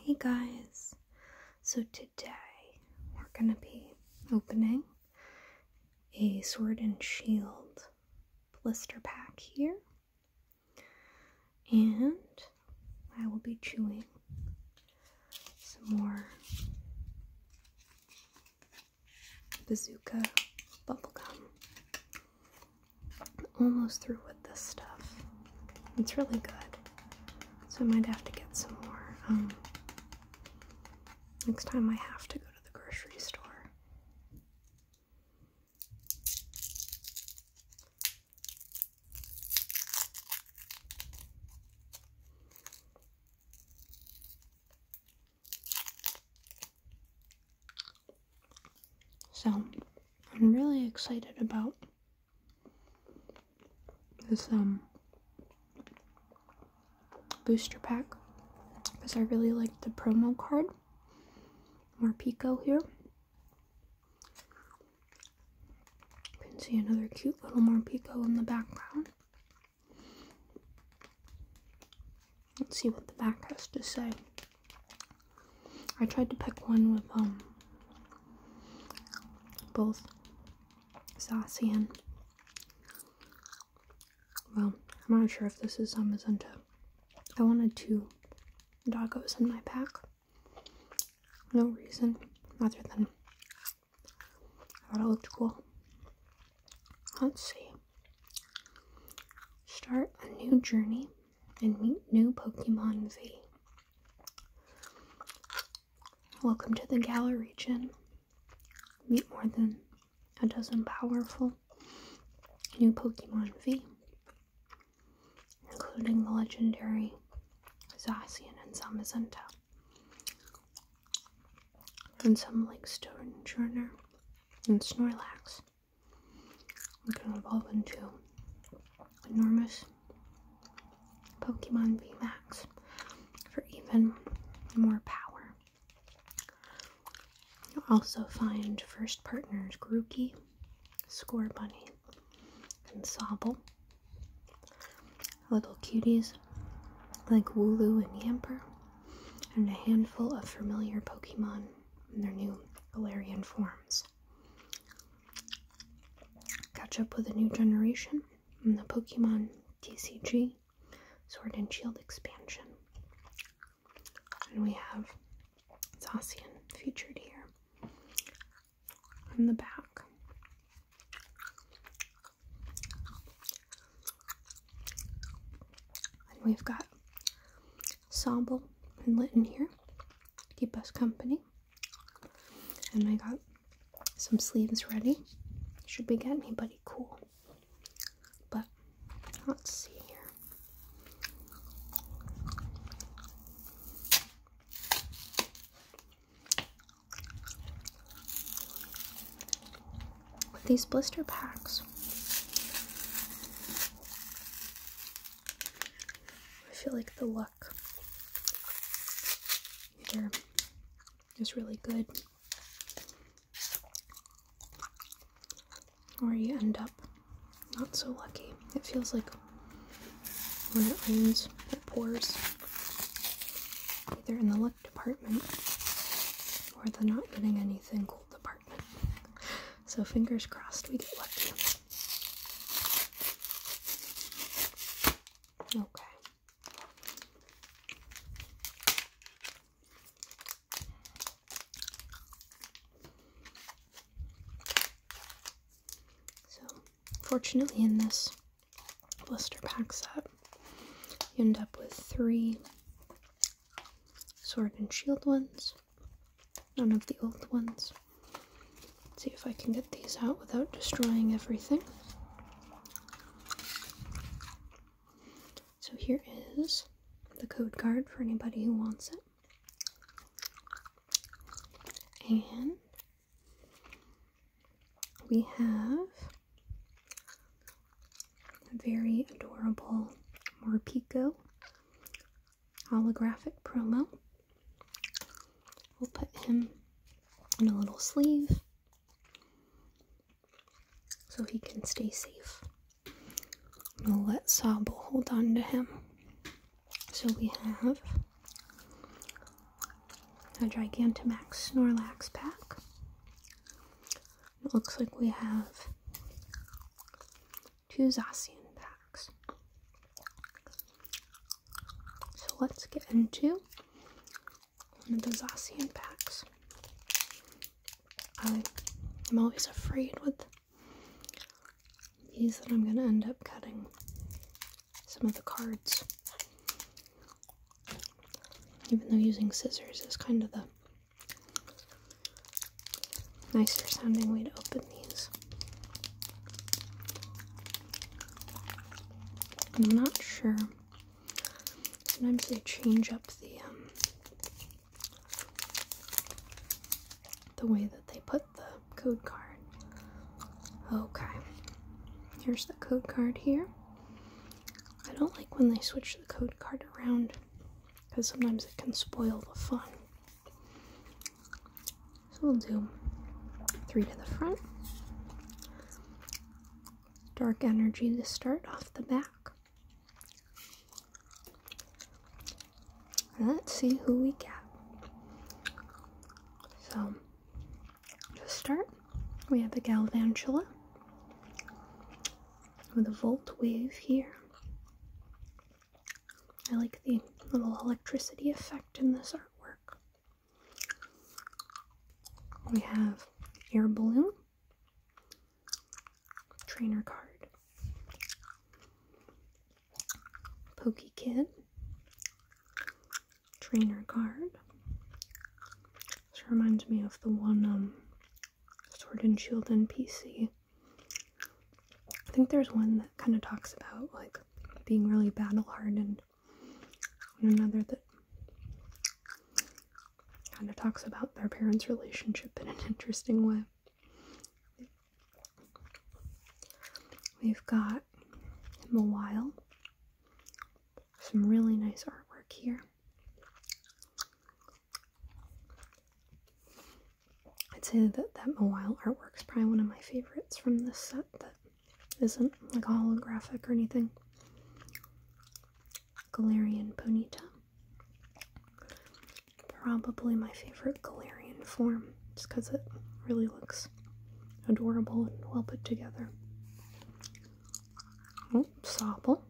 Hey guys, so today we're gonna be opening a Sword and Shield blister pack here, and I will be chewing some more bazooka bubblegum. I'm almost through with this stuff. It's really good. So I might have to get some more. Um, next time I have to go to the grocery store. So, I'm really excited about this um booster pack because I really like the promo card more Pico here you can see another cute little more Pico in the background let's see what the back has to say I tried to pick one with um both sassy and well, I'm not sure if this is um Magenta. I wanted two doggos in my pack. No reason other than I thought it looked cool. Let's see. Start a new journey and meet new Pokemon V. Welcome to the Galar region. Meet more than a dozen powerful new Pokemon V, including the legendary Zacian and Zamazenta, and some like Stonejourner and Snorlax we can evolve into enormous Pokemon VMAX for even more power. You'll also find first partners Grookey, Score Bunny, and Sobble. Little cuties like Wooloo and Yamper, and a handful of familiar Pokemon in their new Galarian forms. Catch up with a new generation in the Pokemon TCG Sword and Shield expansion. And we have Zacian featured here on the back. And we've got Sobble and in here keep us company. And I got some sleeves ready. Should we get anybody cool? But let's see here. These blister packs I feel like the luck here is really good. Or you end up not so lucky. It feels like when it rains, it pours. Either in the luck department or the not getting anything cool department. So fingers crossed we get lucky. Okay. So, fortunately, in this blister pack set, you end up with three sword and shield ones. None of the old ones. see if I can get these out without destroying everything. So here is the code card for anybody who wants it. And we have very adorable Morpico holographic promo. We'll put him in a little sleeve so he can stay safe. We'll let Sable hold on to him. So we have a Gigantamax Snorlax pack. It looks like we have two Zacian packs. So let's get into one of the Zacian packs. I'm always afraid with these that I'm going to end up cutting some of the cards. Even though using scissors is kind of the nicer sounding way to open these. I'm not sure. Sometimes they change up the um, the way that they put the code card. Okay. Here's the code card here. I don't like when they switch the code card around because sometimes it can spoil the fun. So we'll do three to the front, dark energy to start off the back. Let's see who we get. So, to start, we have the Galvantula, with a volt wave here. I like the little electricity effect in this artwork. We have air balloon, trainer card, Poke kid, trainer card, this reminds me of the one um Sword and Shield and PC. I think there's one that kind of talks about like being really battle hardened, and another that kind of talks about their parents' relationship in an interesting way. We've got in the wild some really nice artwork here. I'd say that that Mawile artwork's probably one of my favorites from this set that isn't like holographic or anything. Galarian Ponita, Probably my favorite Galarian form, just because it really looks adorable and well put together. Oh, sopple.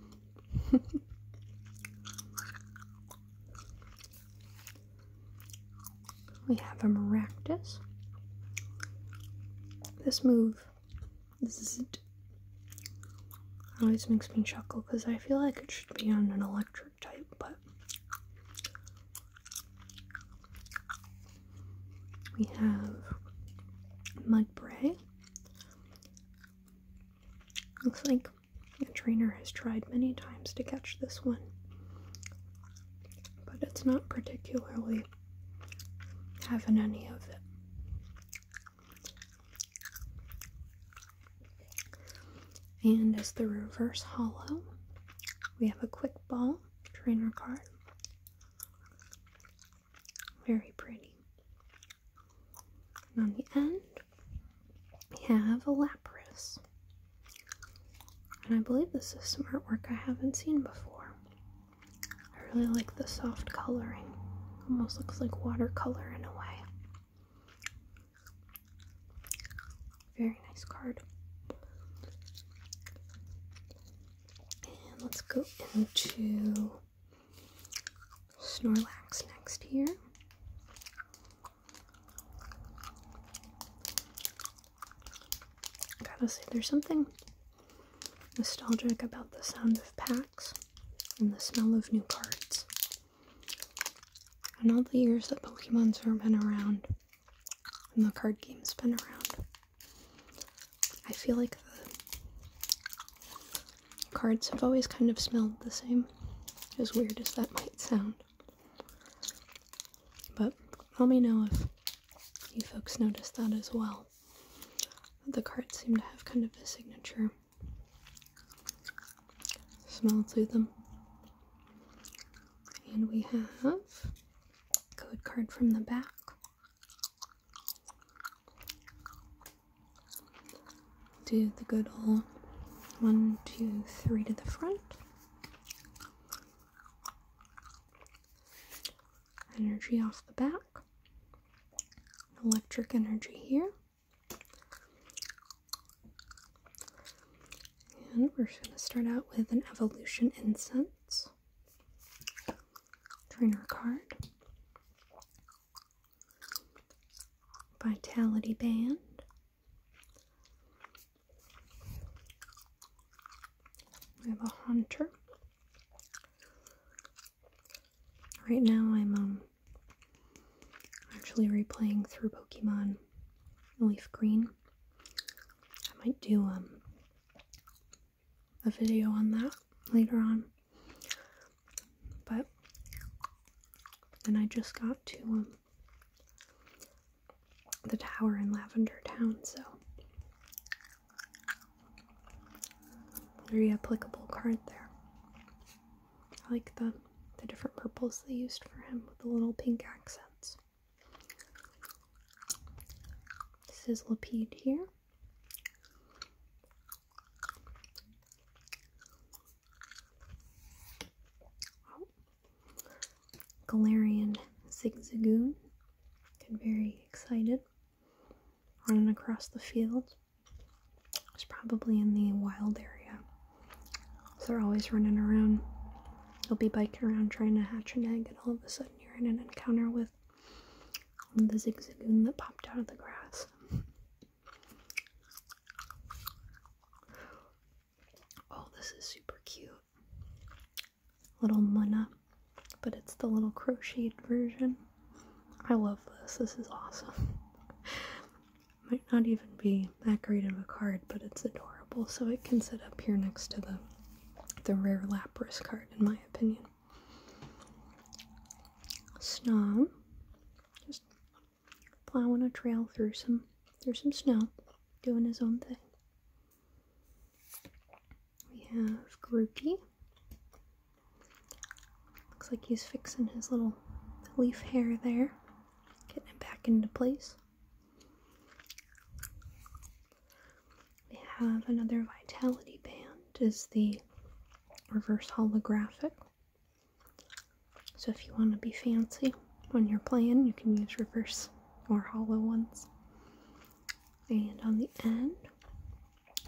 we have a Maractus. This move, this is always makes me chuckle because I feel like it should be on an electric type, but we have Mudbray. Looks like a trainer has tried many times to catch this one, but it's not particularly having any of it. And as the reverse hollow, we have a quick ball trainer card very pretty. And on the end, we have a lapras. And I believe this is some artwork I haven't seen before. I really like the soft coloring. Almost looks like watercolor in a way. Very nice card. And let's go into Snorlax next here. Gotta say, there's something nostalgic about the sound of packs and the smell of new cards. And all the years that Pokemon's been around, and the card game's been around. I feel like the cards have always kind of smelled the same, as weird as that might sound. But let me know if you folks notice that as well. The cards seem to have kind of a signature smell to them. And we have code card from the back. Do the good old one, two, three to the front. Energy off the back. Electric energy here. And we're going to start out with an evolution incense. Trainer card. Vitality band. We have a hunter. Right now I'm um actually replaying through Pokemon Leaf Green I might do um a video on that later on. But then I just got to um the tower in Lavender Town, so very applicable card there. I like the the different purples they used for him with the little pink accents sizzlipede here. Oh. Galarian zigzagoon. Get very excited. Running across the field. It's probably in the wild area. they're always running around. You'll be biking around trying to hatch an egg, and all of a sudden you're in an encounter with the zigzagoon that popped out of the grass. Oh, this is super cute. Little Munna, but it's the little crocheted version. I love this. This is awesome. Might not even be really of a card, but it's adorable, so it can sit up here next to the the rare Lapras card, in my opinion. Snom, just plowing a trail through some through some snow, doing his own thing. We have Grookey. Looks like he's fixing his little leaf hair there, getting it back into place. We have another vitality band is the reverse holographic. So if you want to be fancy when you're playing, you can use reverse or hollow ones. And on the end,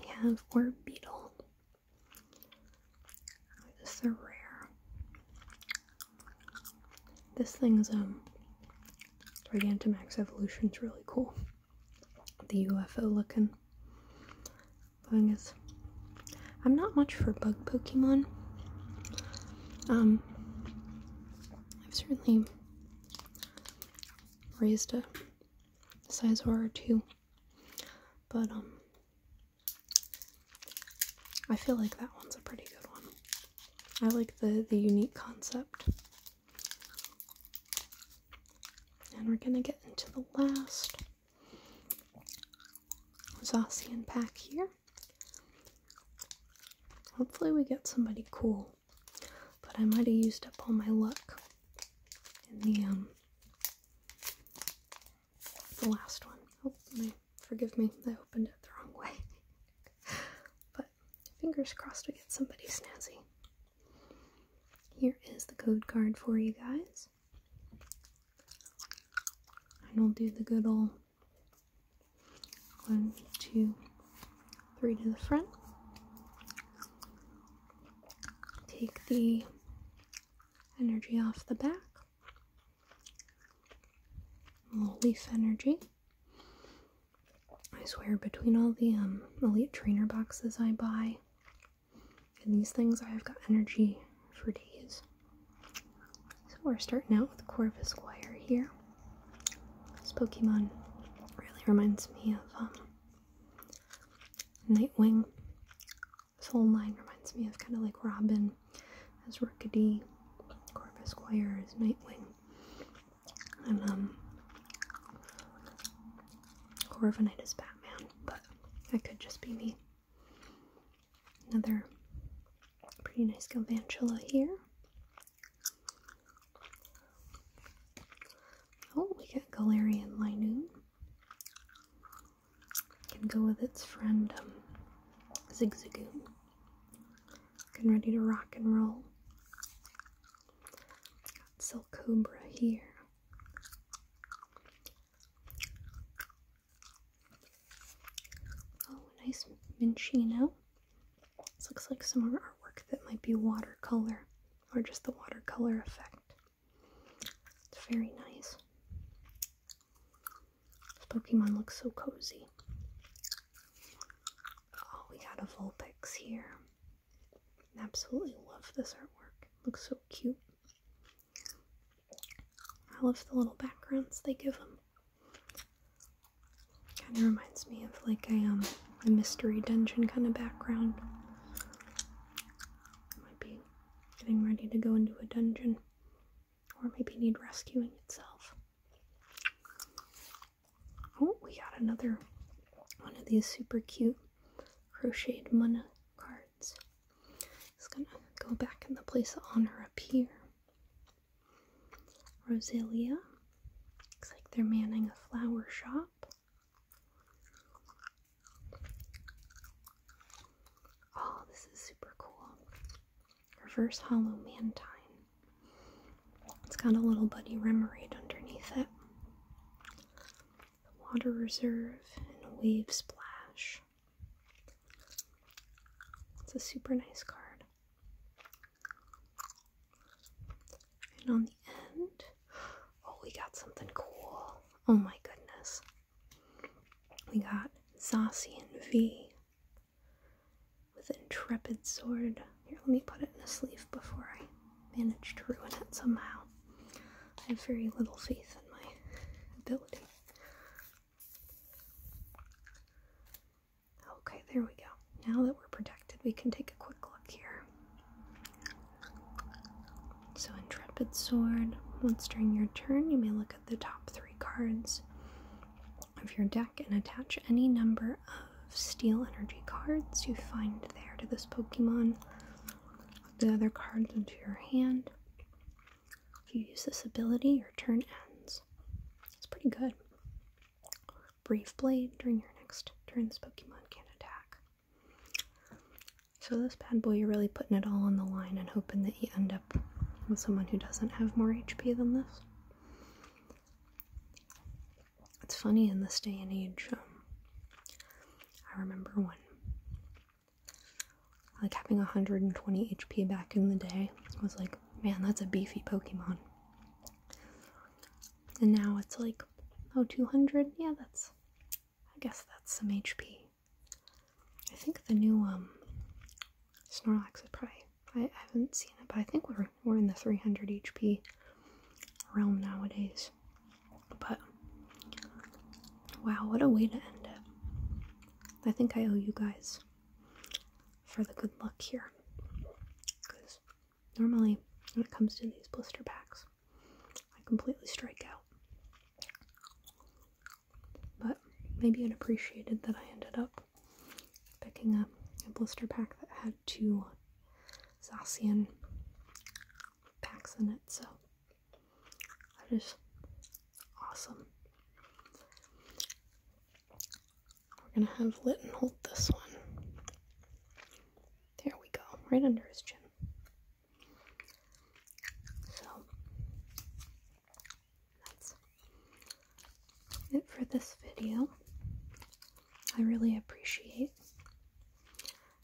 we have our Beetle. This is a rare. This thing's um Gigantamax evolution's really cool. The UFO looking thing is I'm not much for bug Pokemon. Um I've certainly raised a size or two. But um I feel like that one's a pretty good one. I like the the unique concept. And we're gonna get into the last Zacian pack here. Hopefully we get somebody cool. But I might have used up all my luck in the um the last one. Oh, my, forgive me, I opened it the wrong way. but fingers crossed we get somebody snazzy. Here is the code card for you guys. And we'll do the good old one, two, three to the front. Take the energy off the back leaf energy. I swear, between all the um, elite trainer boxes I buy and these things, I've got energy for days. So we're starting out with Corvus Squire here. This Pokemon really reminds me of um, Nightwing this whole line reminds me of kind of like Robin as Rookity, Corpus Quire as Nightwing, and um, Corviknight as Batman, but that could just be me. Another pretty nice Galvantula here. Oh, we got Galarian Linoon can go with its friend um, Getting ready to rock and roll. Got Cobra here. Oh, nice Minchino. This looks like some artwork that might be watercolor or just the watercolor effect. It's very nice. Pokemon looks so cozy. Oh, we got a Vulpix here. Absolutely love this artwork. Looks so cute. I love the little backgrounds they give them. Kind of reminds me of like a um a mystery dungeon kind of background. Might be getting ready to go into a dungeon. Or maybe need rescuing itself. Oh, we got another one of these super cute crocheted mana cards. It's gonna go back in the place of honor up here. Rosalia. Looks like they're manning a flower shop. Oh, this is super cool. Reverse Hollow Mantine. It's got a little Buddy Remoraid underneath it. Water Reserve and Wave Splash. It's a super nice card. And on the end, oh, we got something cool. Oh my goodness. We got Zacian V with Intrepid Sword. Here, let me put it in a sleeve before I manage to ruin it somehow. I have very little faith in my ability. Okay, there we go. Now that we're protected, we can take a quick look here. So, Intrepid Sword. Once during your turn, you may look at the top three cards of your deck and attach any number of steel energy cards you find there to this Pokemon. The other cards into your hand. If you use this ability, your turn ends. It's pretty good. Brave Blade during your next turn, this Pokemon can attack. So, this bad boy, you're really putting it all on the line and hoping that you end up with someone who doesn't have more HP than this. It's funny in this day and age. Um, I remember when, like, having 120 HP back in the day was like, man, that's a beefy Pokemon. And now it's like, oh, 200? Yeah, that's I guess that's some HP. I think the new um, Snorlax is probably. I, I haven't seen it, but I think we're we're in the 300 HP realm nowadays. But wow, what a way to end it! I think I owe you guys for the good luck here, because normally when it comes to these blister packs, I completely strike out. But maybe it appreciated that I ended up picking up a blister pack that had two Zacian packs in it, so that is awesome. We're gonna have Litton hold this one. There we go, right under his chin. So that's it for this video. I really appreciate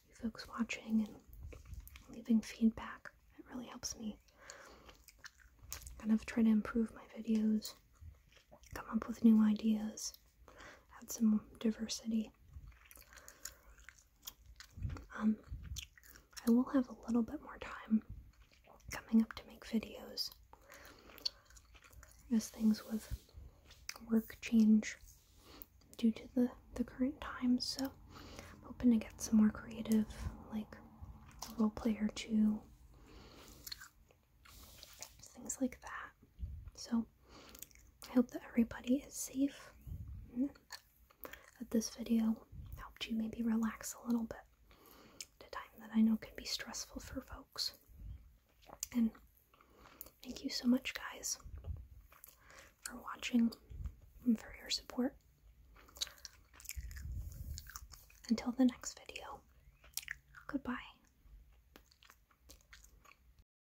you folks watching and leaving feedback. It really helps me kind of try to improve my videos, come up with new ideas, add some diversity. Um, I will have a little bit more time coming up to make videos as things with work change due to the, the current times. So I'm hoping to get some more creative, like role play or two, things like that. So I hope that everybody is safe. That this video helped you maybe relax a little bit at a time that I know can be stressful for folks. And thank you so much, guys, for watching and for your support. Until the next video, goodbye.